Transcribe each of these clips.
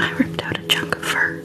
I ripped out a chunk of fur.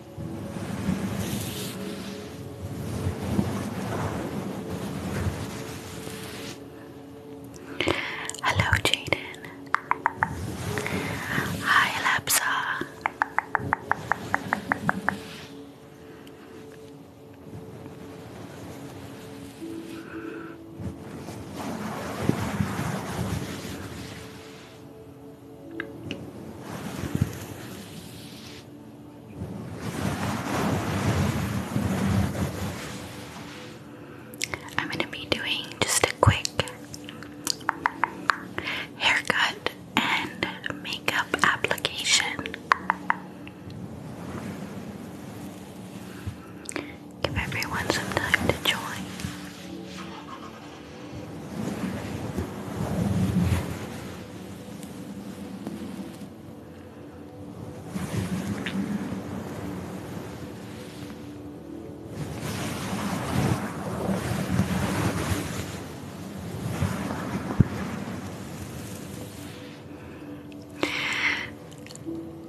Hello, Jaden. Hi, Lapsa. I'm going to be doing just a quick haircut and makeup application. Give everyone some time to join.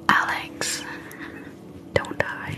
Alex, don't die.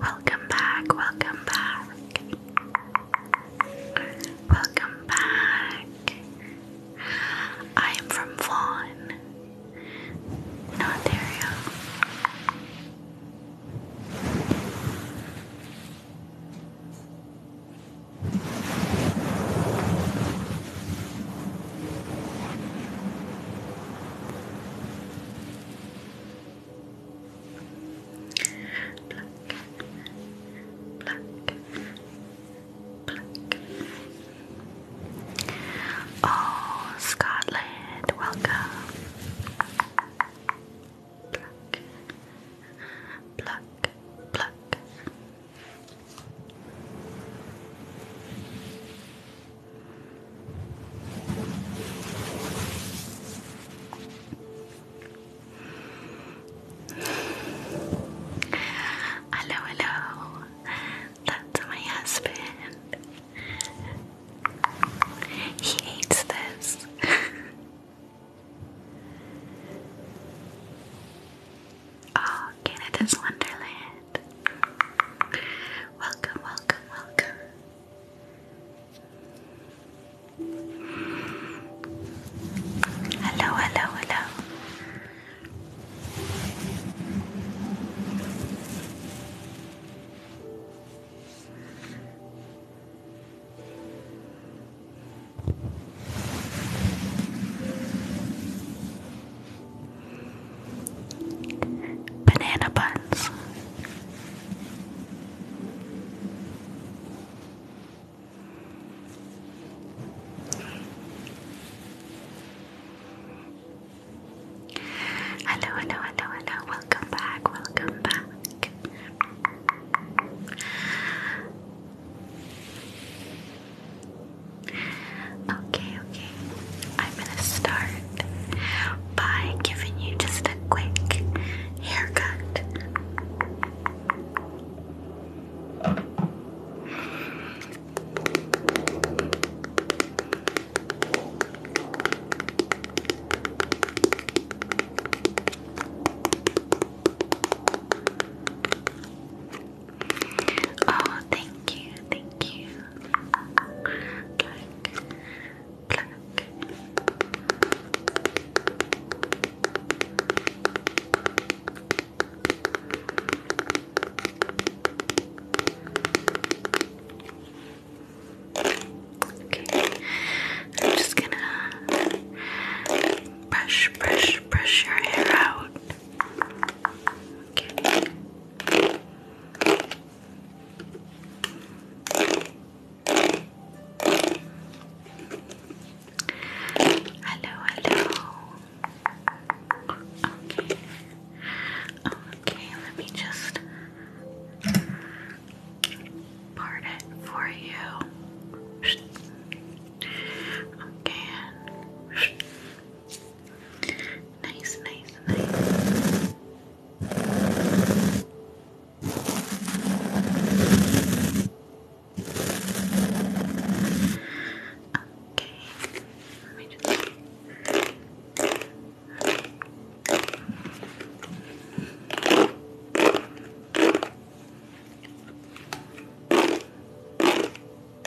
Welcome back, welcome back. Welcome back. I am from Vaughan, in Ontario. Oh, Scotland, welcome. Pluck, pluck, pluck, Hello, hello. That's my husband. He hates this. Oh, Canada's Wonderland. Welcome, welcome, welcome. Hello, hello, hello. Banana buns. Hello, hello, hello, hello. Welcome back. Welcome back. Okay, okay. I'm gonna start by giving you just a quick haircut. Oh, thank you, thank you. Okay, I'm just gonna brush, brush, brush your hair out. Okay. Hello, hello. Okay. Okay, let me just part it for you. Okay. Nice, nice, nice. Okay. Let me just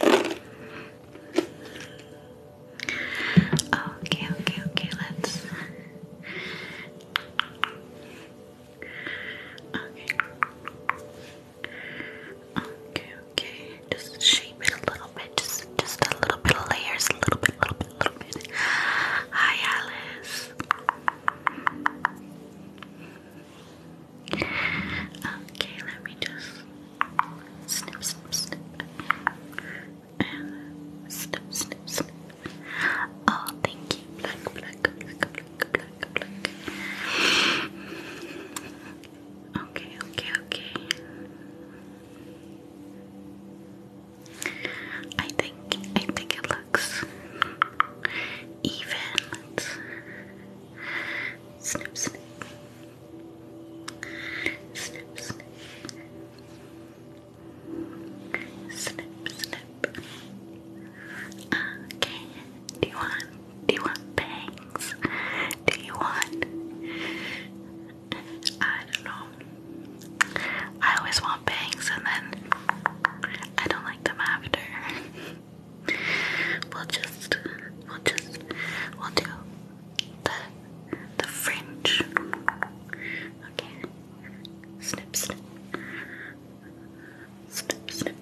Okay, okay, okay, let's. Okay. Okay, okay. Just shape it a little bit. Just just a little bit of layers. A little bit, little bit, little bit. Hi Alice. Okay, let me just snip, snip, snip, and snip, snip, snip. Oh, thank you, black, black, black, black, black, black. Okay, okay, okay. I think I think it looks even. Let's snip, snip. Snip, snip. Snip, snip. Okay. Do you want do you want bangs? Do you want I don't know. I always want bangs and then I don't like them after. We'll just, we'll just, we'll do the the fringe. Okay. Snip, snip, snip, snip.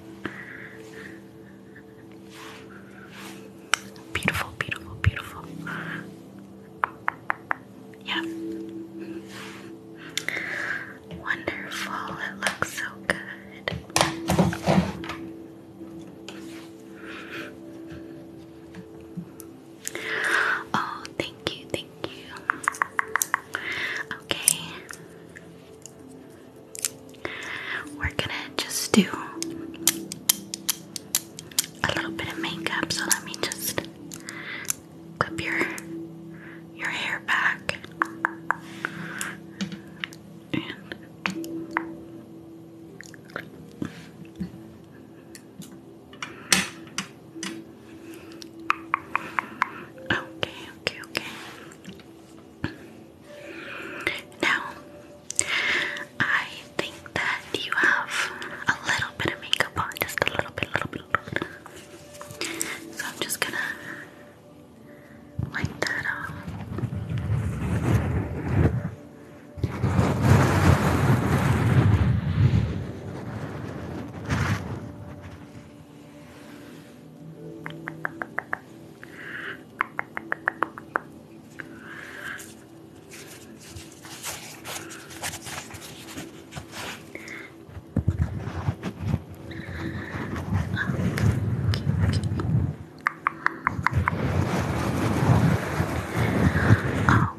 Beautiful, beautiful, beautiful. Yeah. Wonderful. It looks so good. Oh, thank you, thank you. Okay. We're gonna just do a little bit of makeup, so let me just clip your your hair back in. Okay, okay, okay. Now, I think that you have a little bit of makeup on, just a little bit, little bit, little bit. So I'm just gonna like that off. okay, okay. Oh,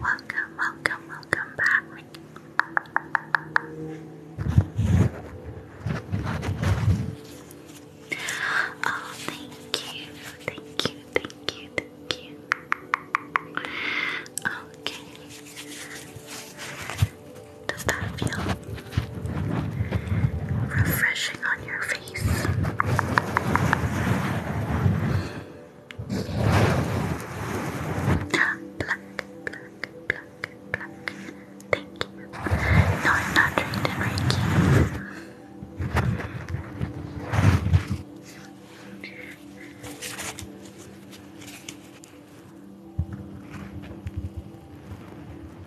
welcome, welcome, welcome back. Oh, thank you, thank you, thank you, thank you. Okay. Does that feel refreshing on your face. Black, black, black, black. Thank you. No, I'm not trained in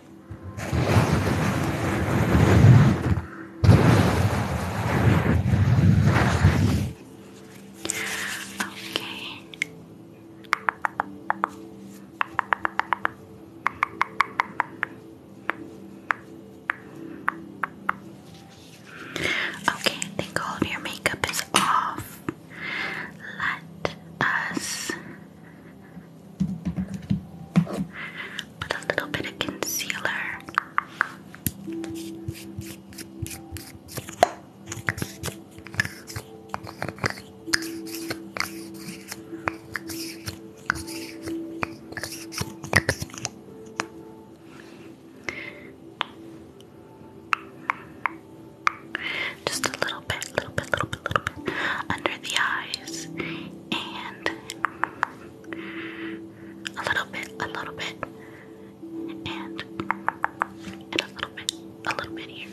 Okay. Okay, I think all of your makeup is off. Let us Put a little bit of concealer. Just a little bit, little bit, little bit, little bit under the eyes and a little bit, a little bit, and and a little bit, a little bit here.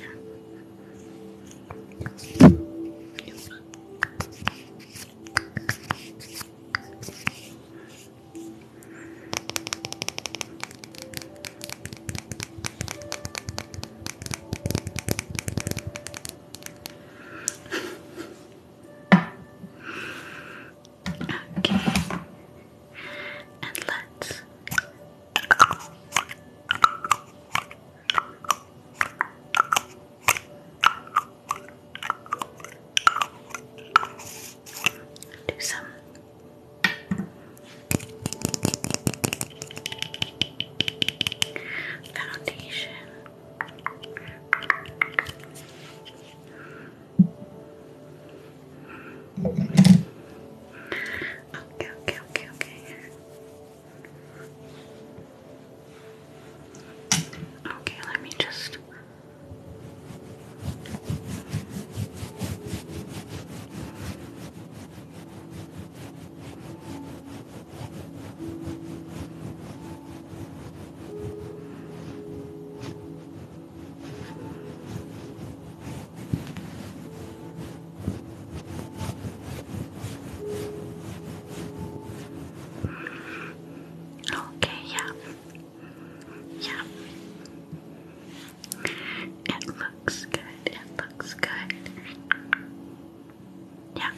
Okay. And let's do some foundation Okay, okay, okay, okay. Okay, let me just Okay, yeah. Yeah. It looks good. It looks good. Yeah.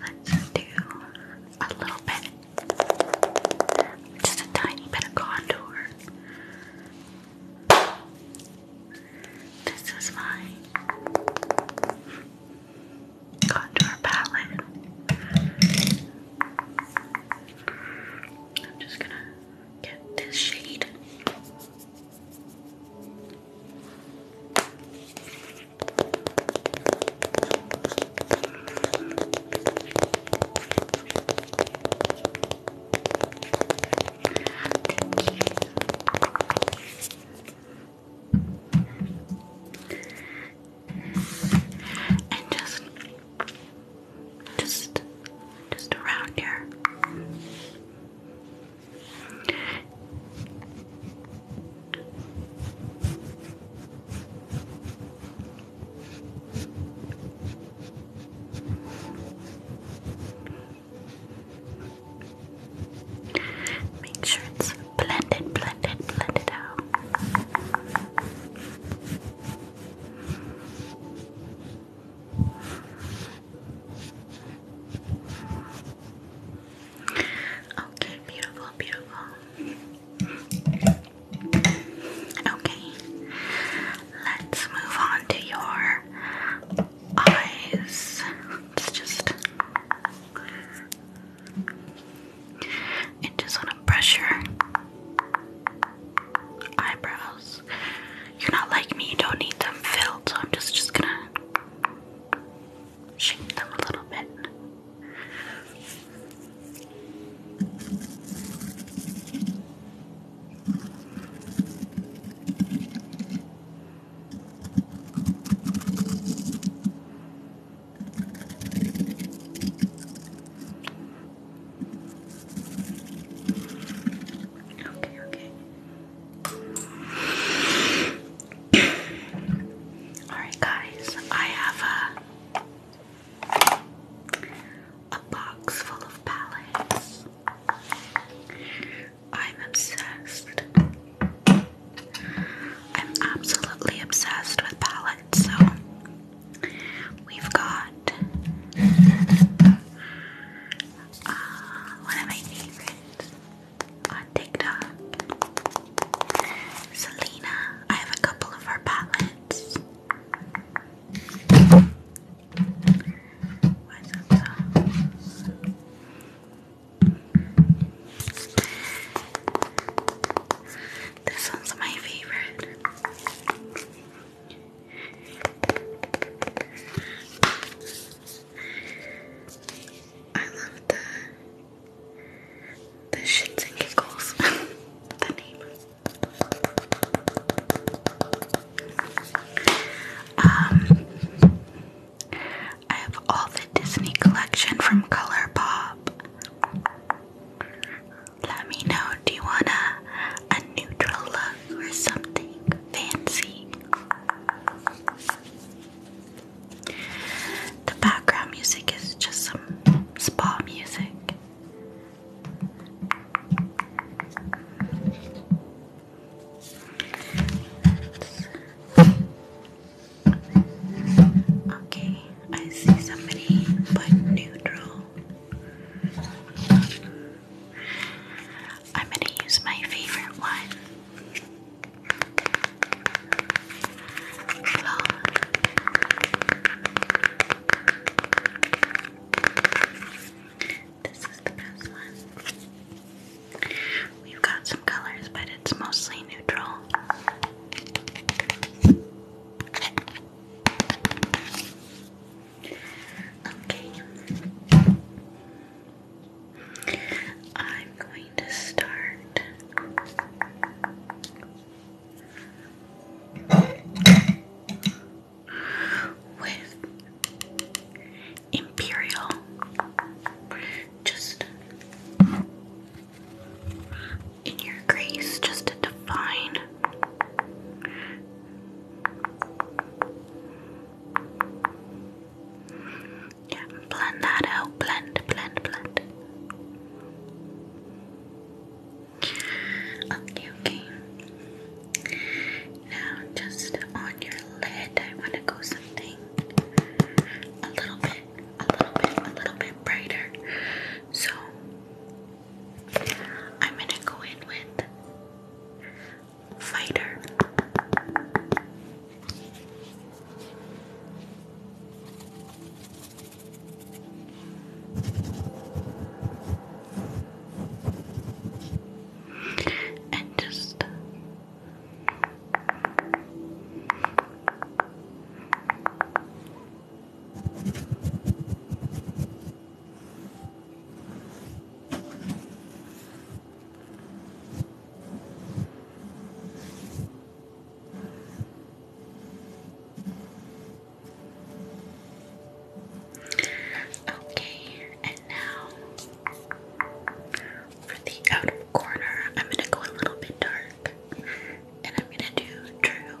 Let's do a little bit, just a tiny bit of contour. This is my contour palette. I'm just gonna get this shade and just just just around here. Make sure it's blended, blended, blended out. Okay, beautiful, beautiful. Okay, let's move on to your eyes. just. I just want to brush your eyebrows you're not like me, you don't need them filled, so I'm just, just gonna shape them a little bit. Okay, okay. Alright, guys, I have a, a box full of palettes. I'm obsessed. I'm absolutely obsessed with palettes, so we've got uh, one of my favorites on TikTok. Selena, I have a couple of her palettes. This one's my favorite. I love the the shits and giggles. the neighbors. Um, I have all the Disney collection from Color ColourPop. Let me know. Do you want a, a neutral look or something fancy? The background music is just some spa music. Okay, I see somebody but neutral. I'm going to use my favorite one. This is the best one. We've got some colors, but it's mostly neutral. Okay. I'm going to start with Imperial. Just in your grace, just to define. Blend that out. Blend, blend, blend. Okay, okay. Now, just on your lid, I want to go something a little bit, a little bit, a little bit brighter. So, I'm going to go in with fighter. And just Okay, and now for the outer corner, I'm gonna go a little bit dark and I'm gonna do true.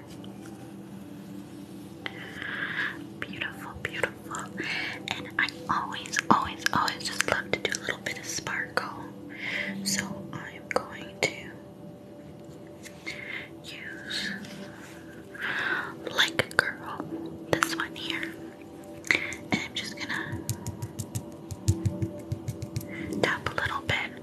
Beautiful, beautiful. And I always, always, always just love to do a little bit of sparkle. So I'm going to use Like a Girl, this one here. And I'm just gonna tap a little bit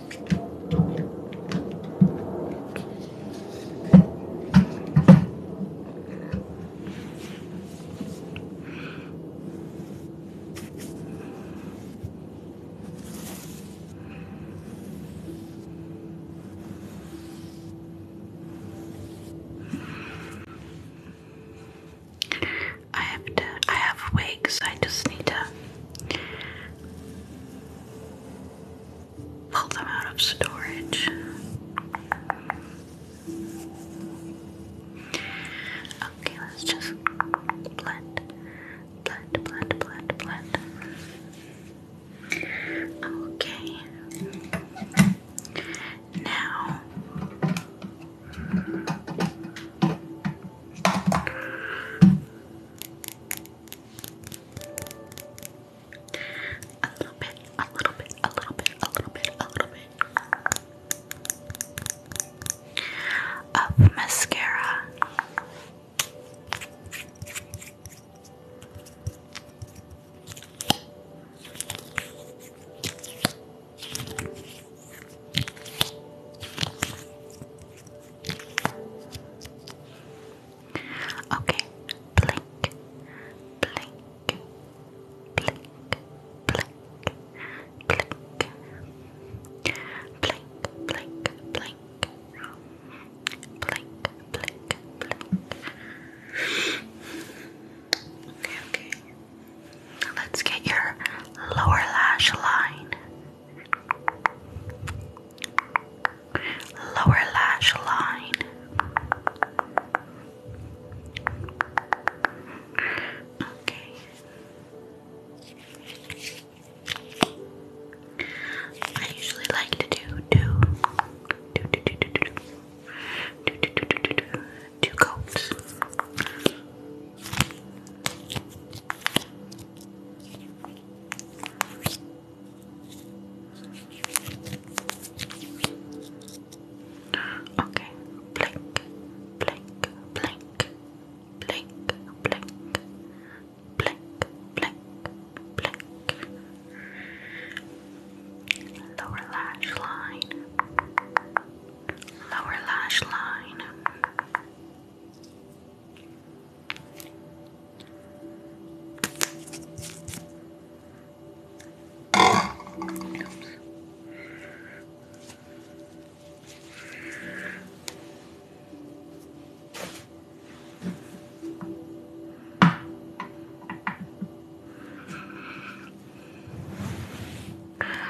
I have to I have wigs, I just need to pull them out of storage. Okay, let's just blend, blend, blend, blend, blend. Okay. Now a little bit, a little bit, a little bit, a little bit, a little bit of mascara. Okay, blink, blink, blink, blink, blink, blink, blink, blink, blink, blink, blink. Okay, okay. Let's get your lower lash line lower lash line, okay. I usually like to do two, two, two, two, two, two, two, two, two, two, two, two coats. Okay, blink, blink, blink, blink, blink, blink, blink, blink. Lower lash line, lower lash line.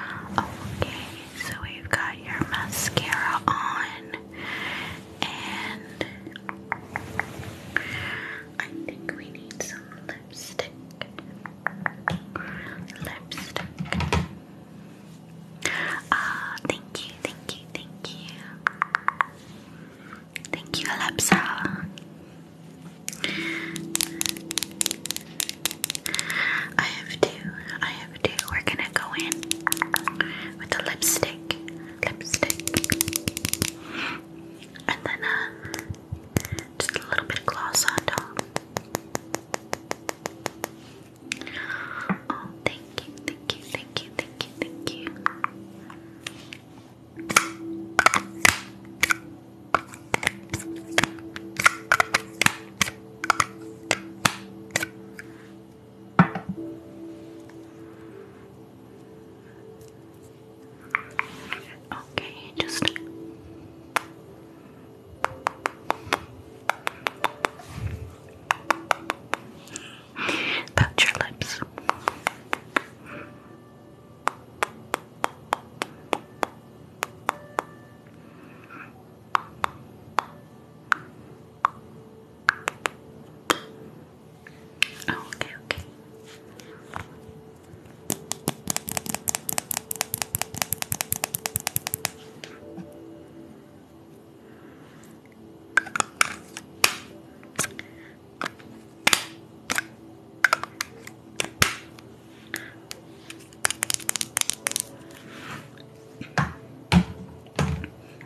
Okay, so we've got your mascara on. And I think we need some lipstick. Lipstick. Ah, thank you, thank you, thank you. Thank you, Alepsa. I have two. I have two. We're gonna go in with the lipstick lipstick. And then uh, just a little bit of gloss on top. Oh, thank you, thank you, thank you, thank you, thank you. Okay, just Touch your lips. Oh, okay, okay.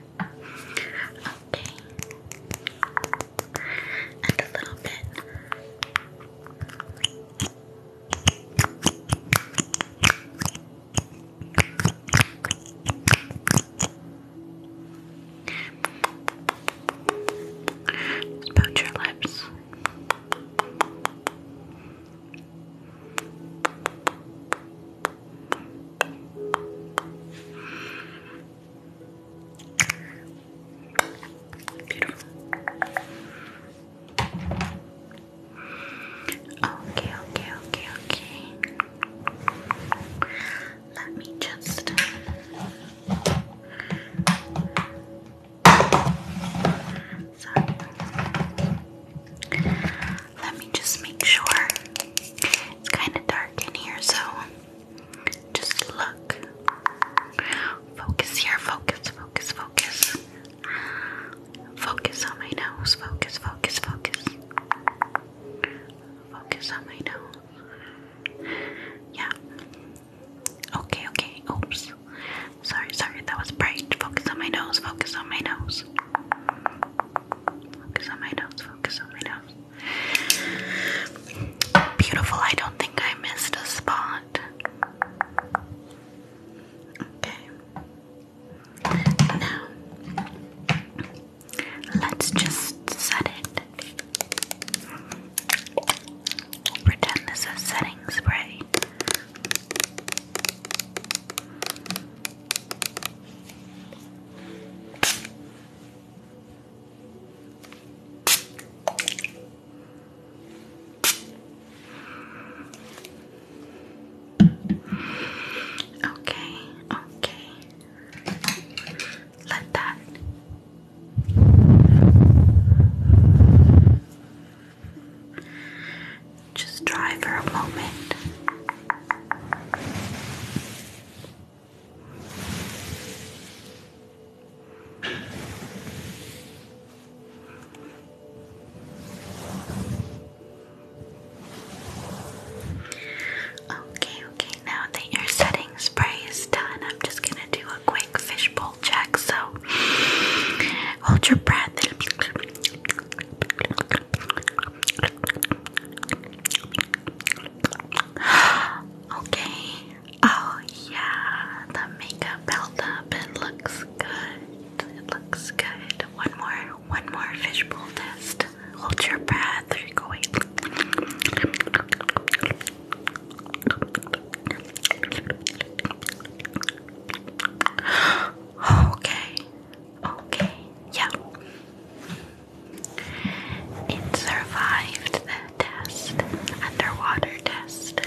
Okay. And a little bit. Just pout your lips. Beautiful. Okay, okay, okay, okay. Let me just sorry. Let me just make sure. It's kind of dark in here, so just look. Focus here. Focus, focus, focus. Focus on my nose. Focus, focus, focus. Focus on my nose. Yeah. Okay, okay. Oops. Sorry, sorry. That was bright. Focus on my nose. Focus on my nose. Focus on my nose. Focus on my nose. Beautiful. I don't think I missed a spot. Okay. Now, let's just set it. Pretend this is setting spray. Okay, okay. Let that. Just dry for a moment. Okay, okay, now that your setting spray is done, I'm just gonna do a quick fishbowl check. So hold your breath. Okay. Oh yeah, the makeup built up. It looks good. It looks good. One more, one more fishbowl test. Hold your breath. You're going. Okay. Okay. Yeah. It survived the test, underwater test.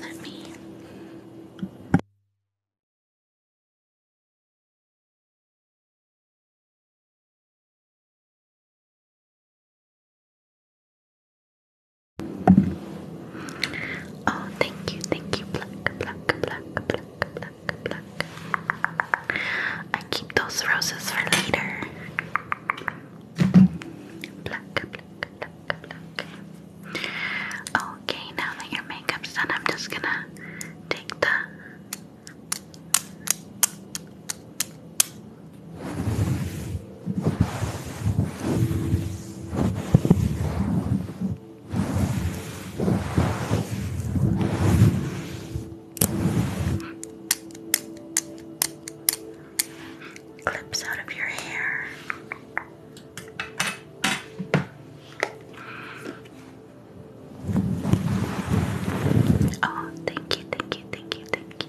Let me. Oh, thank you, thank you, pluck, pluck, pluck, pluck. I keep those roses for later. Okay, now that your makeup's done, I'm just gonna take the Clips out of your hair. Oh, thank you, thank you, thank you, thank you.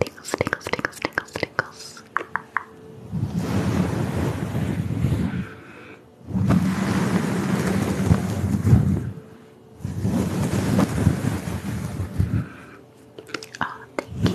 Tingles, tingles, tingles, tingles, tingles. Oh, thank you, thank you,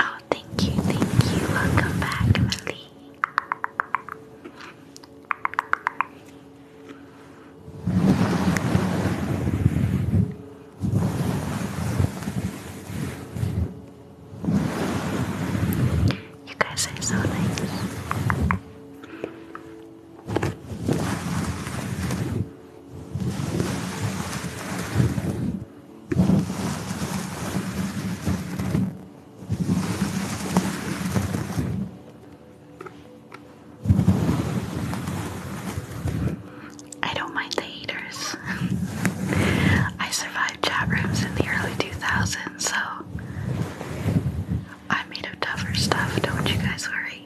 Oh, thank you, thank you. Welcome back, Emily. You guys are so nice. I don't mind the haters. I survived chat rooms in the early 2000s, so I'm made of tougher stuff, don't you guys worry.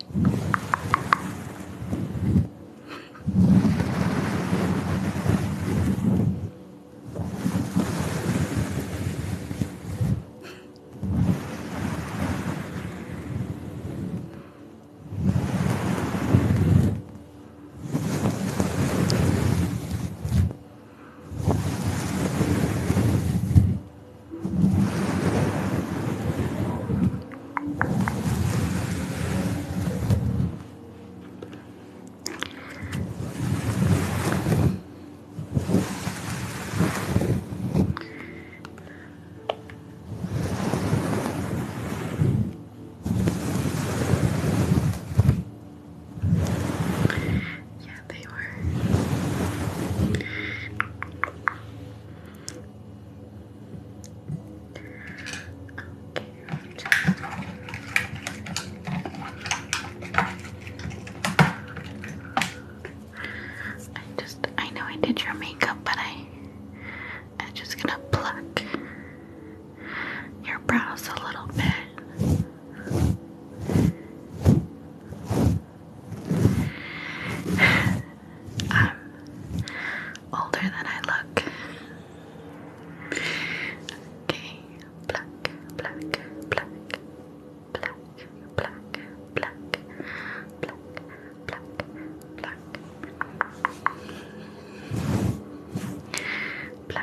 Yeah, they were. I just I know I did your makeup but I am just gonna pluck your brows a little bit. I'm older than I look. Okay, black, black, black, black, black, black, black, black, black, black.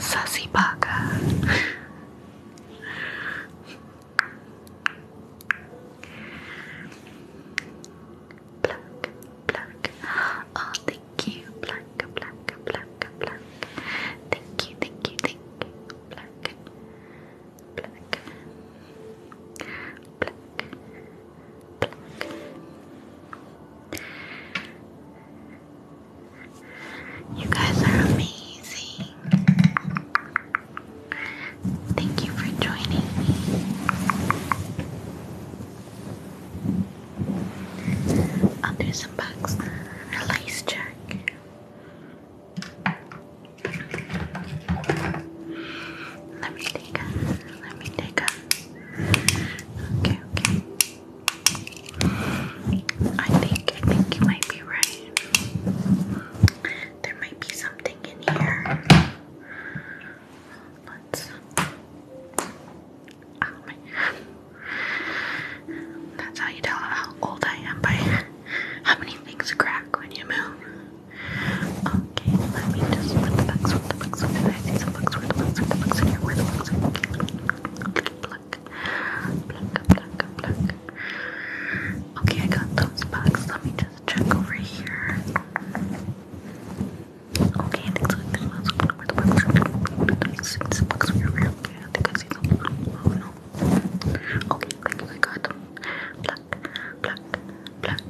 Sassy Parker. Pluck, pluck. Oh, thank you. Pluck, pluck, pluck, pluck. Thank you, thank you, thank you. Pluck, pluck, pluck, pluck. You guys are amazing. Thank you for joining me. I'll do some bugs. Release check. Let me take a. Let me take a. Okay, okay. I think I think you might be right. There might be something in here. Let's. Oh That's how you tell how old I am by how many things crack when you move. Okay, let me just put the books, with the books, with the books. I see some books, where the books, where the books in here, where the books are. Pluck, pluck, pluck, pluck. Okay, I got those boxes. Let me just check over here. Okay, I think I see them. Oh no. Okay, I think I got them. Black, black, black.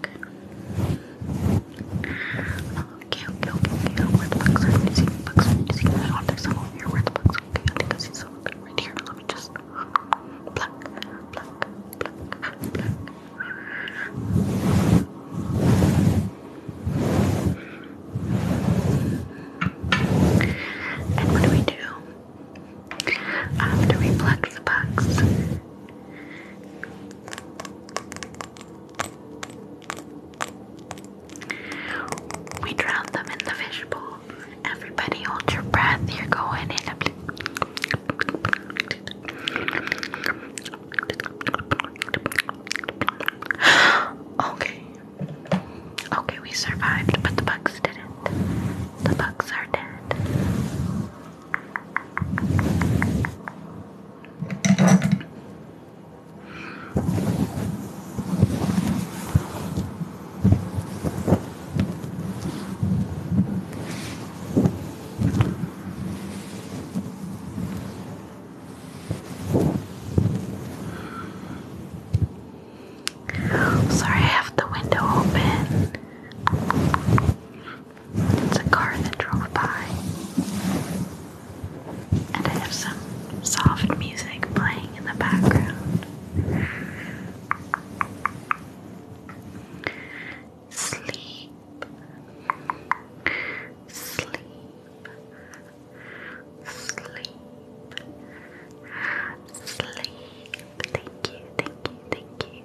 Okay, okay, okay, Where the bugs are. Did you see the bugs? Did you see the bugs? here. Where the bugs? Okay, I think I see some right here just pluck, pluck, pluck, pluck. And what do we do? After we pluck the bugs, we drown them in the fish fishbowl. Everybody hold your breath. You're going in Okay. Okay, we survived, but the bugs didn't. The bugs are dead. Sorry, I have the window open. It's a car that drove by. And I have some soft music playing in the background. Sleep. Sleep. Sleep. Sleep. Thank you, thank you, thank you.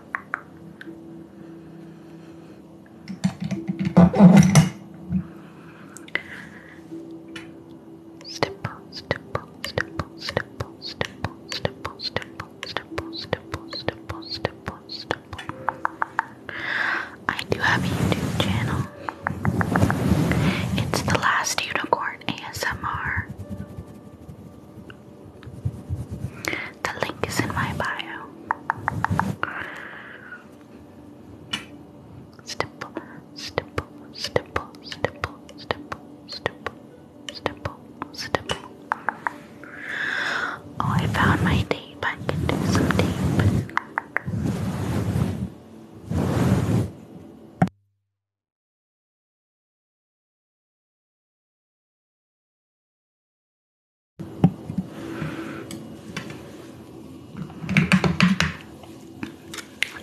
Stipple, stipple, stipple, stipple, stipple, stipple, stipple, stipple, stipple, stipple, stipple, stipple. I do have a YouTube channel. It's the last unicorn ASMR. The link is in my bio. Stipple, stipple, stipple, stipple, stipple, stipple, stipple, stipple. Oh, I found my tape. I can do some tape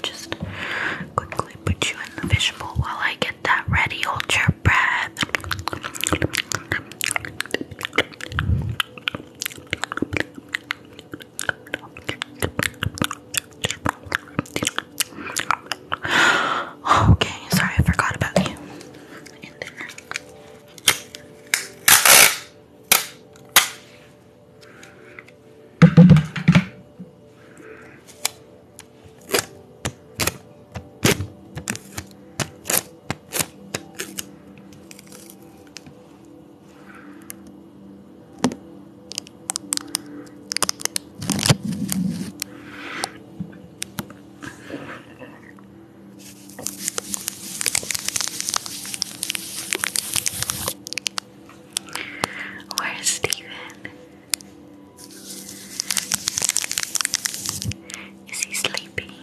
just quickly put you in the fish bowl while I get that ready. Hold your breath. okay, sorry, I forgot about you. Where's Steven? Is he sleeping?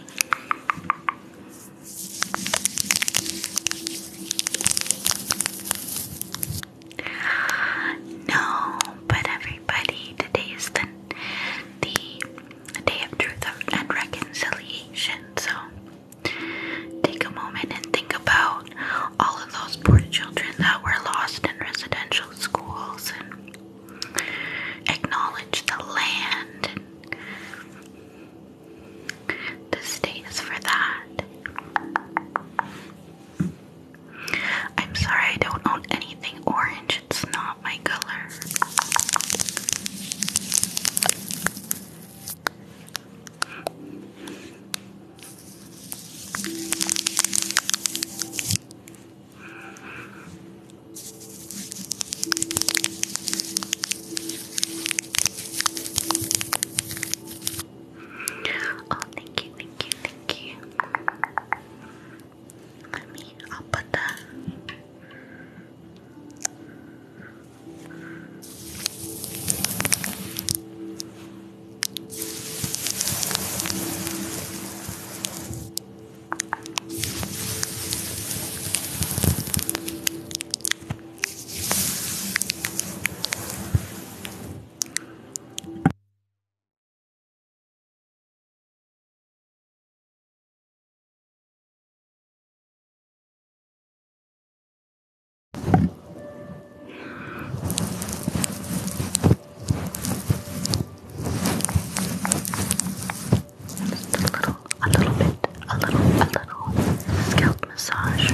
No, but everybody, today is the a day of truth and reconciliation. So take a moment and think about all of those poor children that were lost in residential schools and acknowledge the land and this day is for that. I'm sorry I don't own anything orange it's not my color. Oh, thank you, thank you, thank you. I mean, I'll put that. Just a little, a little bit, a little, a little scalp massage.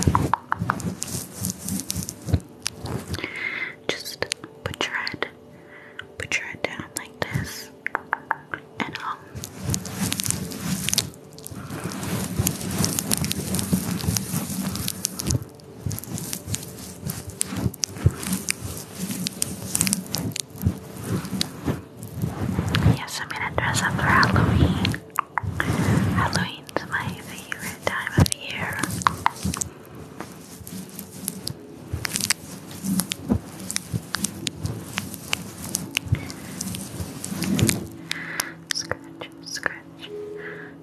Just put your head, put your head down like this, and um, yes, I'm gonna dress up for Halloween. Halloween's my favorite time of year. Scratch, scratch,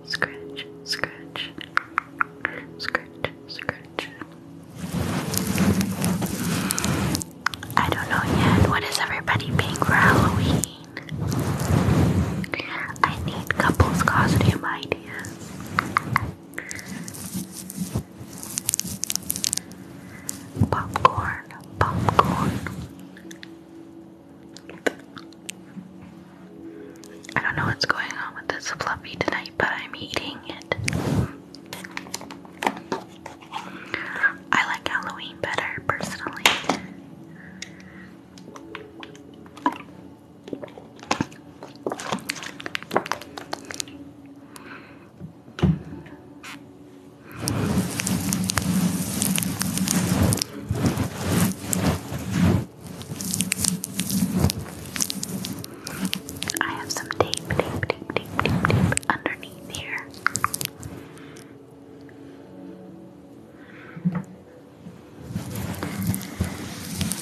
scratch, scratch, scratch, scratch. I don't know yet. What is everybody being for Halloween? I need couples costume ideas. Popcorn, popcorn. I don't know what's going on with this fluffy tonight, but I'm eating it. I like Halloween better personally. I have some tape, tape, tape, tape, tape, tape underneath here.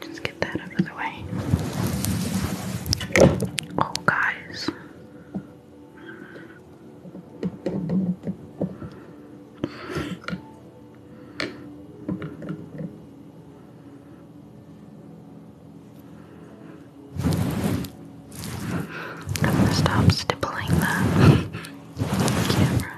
just get that out of the way. Oh, guys. I'm gonna stop stippling that camera.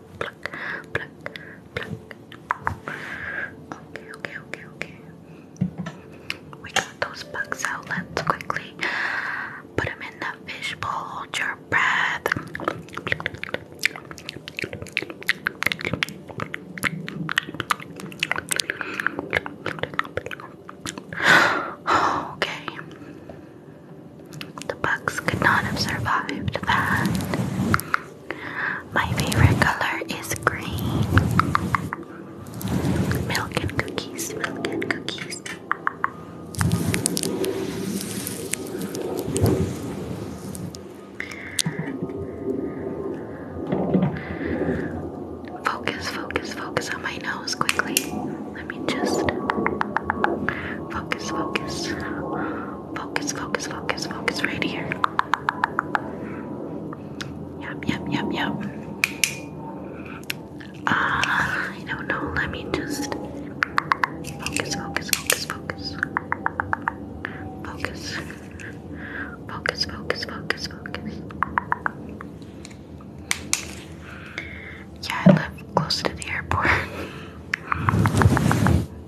Okay, okay, okay, okay. We got those bugs out. Let's quickly put them in the fish Hold your breath. Okay. The bugs could not have survived that. My favorite color is green. Milk and cookies, milk and cookies. Focus, focus, focus on my nose quickly. Let me just focus, focus. Focus, focus, focus, focus right here. Yep, yep, yep, yep. Ah, I don't know. Let me just focus, focus, focus. Focus. Focus, focus, focus, focus. Yeah, I live close to the airport.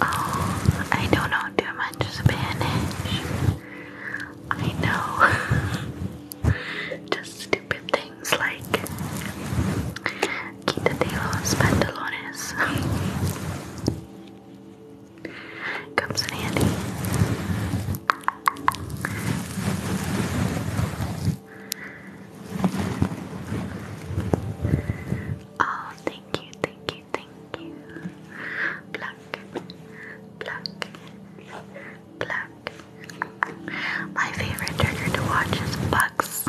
Oh, I don't know too much Spanish. I know just stupid things like quítate los pantalones. Comes in handy. Oh, thank you, thank you, thank you. Pluck, pluck, pluck. My favorite trigger to watch is bugs.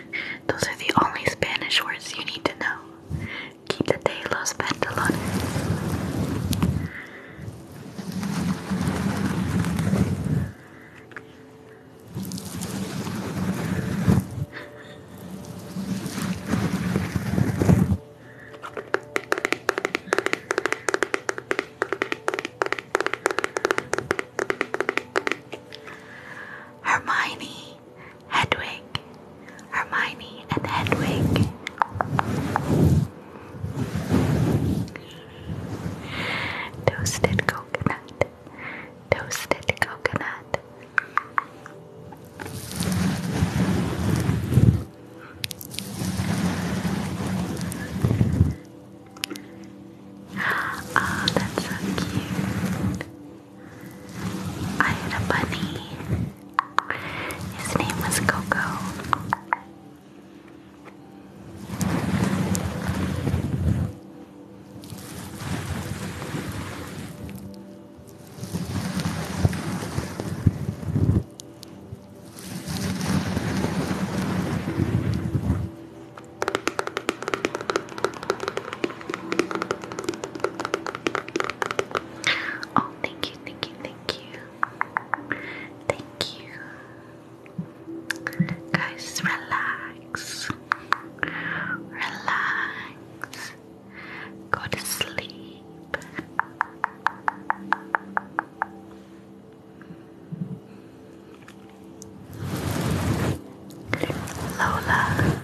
Those are the only Spanish words you need to know. Quítate los pantalones. Hermione, Hedwig, Hermione and Hedwig. Toasted coconut, toasted coconut. Oh, that's so cute. I had a bunny. His name was Coco. Oh, thank you, thank you, thank you. Thank you. Guys, relax. Relax. Go to sleep. Lola,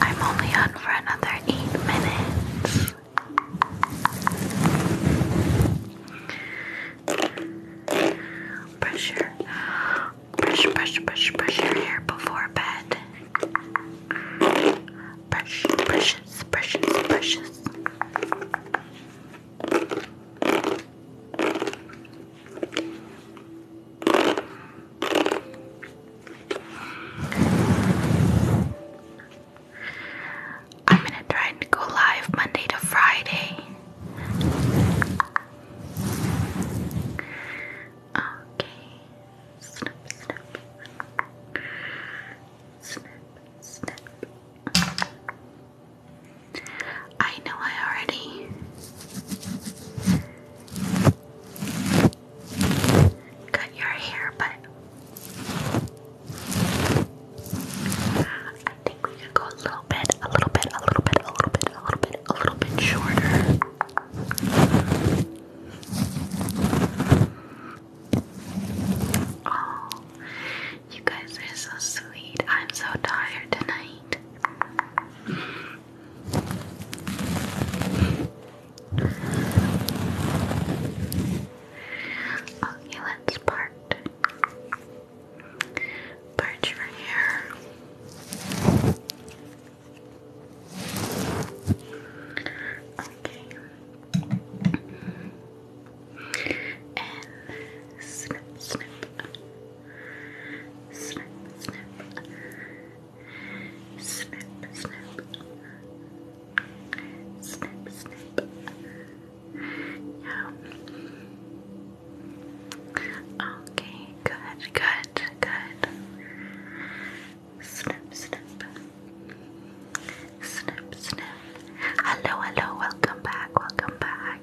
I'm only on for another eight minutes. Brush your brush, brush, brush, brush your hair before bed. Brush, brushes, brushes, brushes. I'm gonna try and go live Monday to Friday. Okay. Snip, snip. Snip, snip. I know I already cut your hair, but I think we could go a little bit, a little bit, a little bit, a little bit, a little bit, a little bit shorter. Oh, you guys are so sweet. I'm so tired tonight right. Okay, let's part. Part your hair. Okay. And snip, snip. Snip, snip. Snip, snip. Snip, snip. Yeah. Okay, good, good, good. Snip, snip. Snip, snip. Hello, hello, welcome back, welcome back.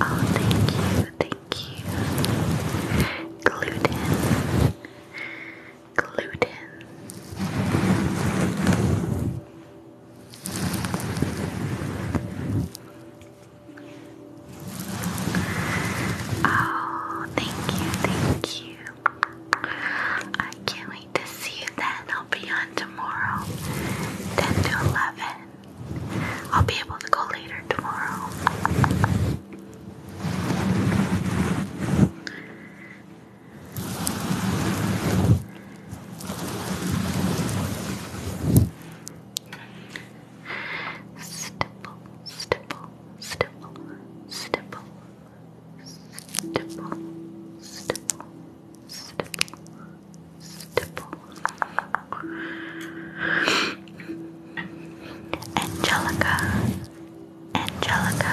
Oh, thank you, thank you. Gluten, gluten. Oh, thank you, thank you. I can't to see you then. I'll be on tomorrow, 10 to 11. I'll be able to go later tomorrow. Stipple, stipple, stipple, stipple, stipple, stipple, stipple, Angelica, Angelica.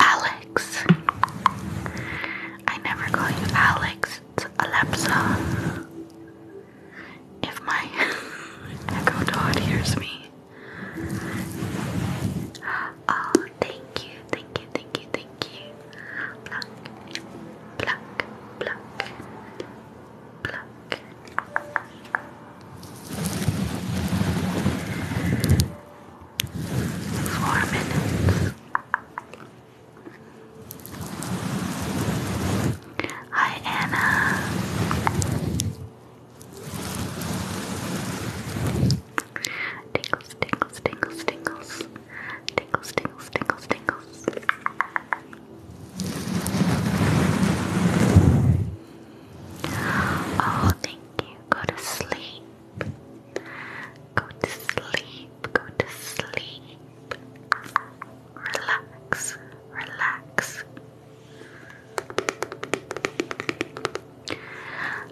Alex. I never call you Alex, it's Alepsa. If my echo dot hears me. Oh, thank you, thank you, thank you, thank you. Pluck, pluck, pluck, pluck four minutes. Hi, Anna. Tingles, tingles, tingles, tingles. Tingles, tingles, tingles, tingles. Oh, thank you. Go to sleep. Go to sleep, go to sleep. Relax, relax.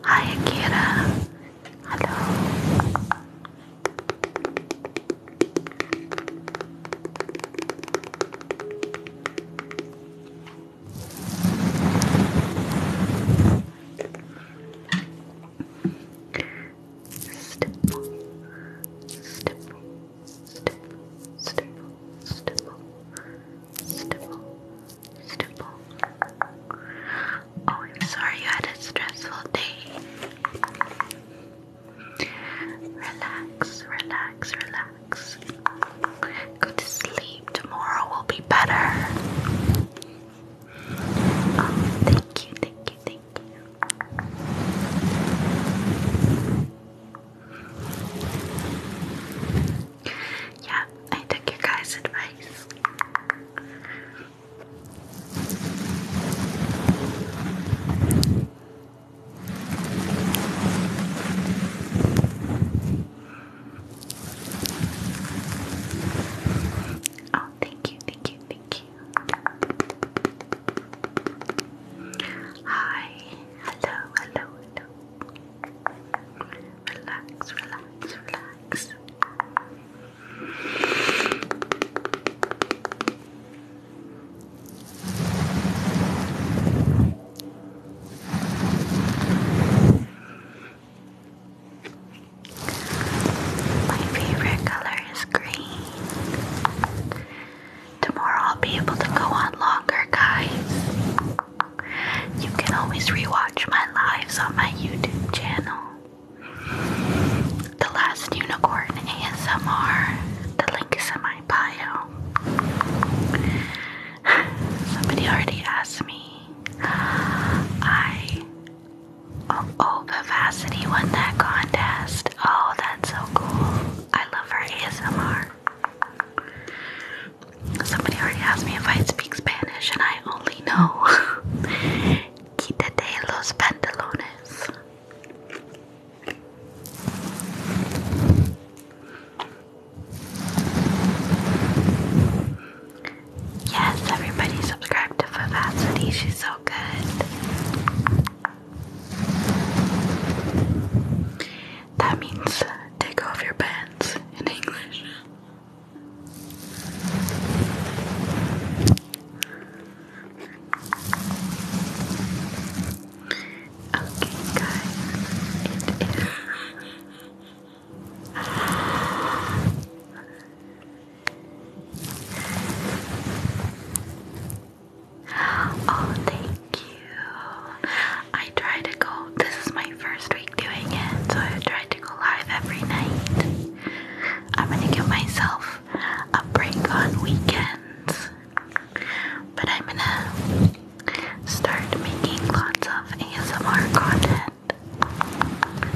Hi, Akira. Hello. Stipple, stipple, stipple, stipple, stipple, stipple, stipple. Oh, I'm sorry you had a stressful day. Relax, relax, relax. Go to sleep. Tomorrow will be better thank you, thank you, thank you. Yeah, I took your guys' advice. Oh, thank you, thank you, thank you. Hi, hello, hello, hello. Relax, relax, relax. My favorite color is green. Tomorrow I'll be able to go on longer, guys. You can always rewatch my lives on my YouTube channel. The Last Unicorn ASMR. The link is in my bio. Somebody already asked me I oh, Vivacity won that contest. Oh, that's so cool. I love her ASMR. Somebody already asked me if I speak Spanish, and I only know Quítate los pantalones. Yes, everybody subscribe to Vivacity, she's so good. That means uh, take off your pants in English. Okay, guys, Oh, thank you. I try to go, this is my first week doing it, so I try to go live every night. I'm gonna give myself a break on weekends, but I'm gonna start making lots of ASMR content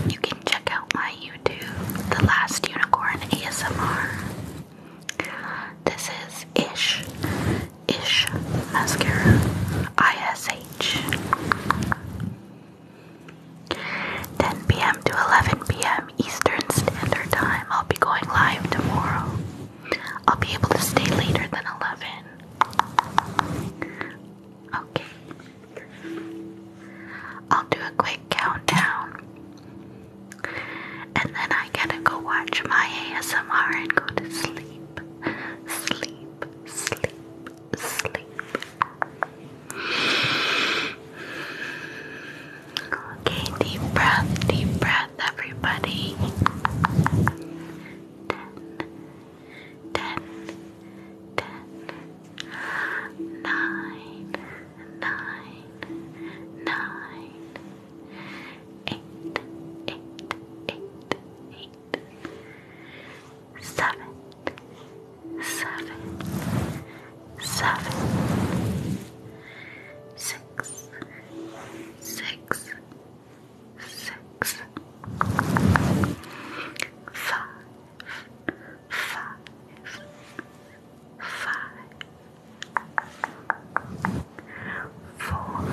you can check out my YouTube, The Last Unicorn ASMR. This is Ish, Ish Mascara, ISH. 10 p.m. to 11 p.m. Eastern Standard Time. I'll be going live tomorrow. I'll be able to stay later than 11. Okay. I'll do a quick countdown. And then I gotta go watch my ASMR and go to sleep. Sleep, sleep, sleep. Okay, deep breath, deep breath, everybody. 10, ten, ten, nine, nine, nine, five, five, four,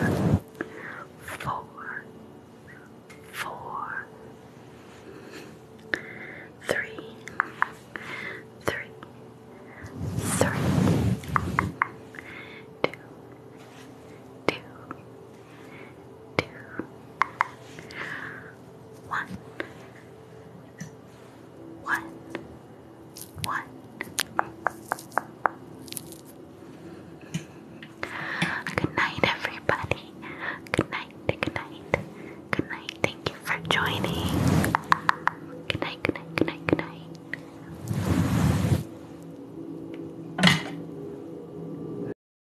four, four, three, three, three, two, two two, one, one, one. Good night, everybody. Good night, good night, good night. Thank you for joining. Good night, good night, good night, good night.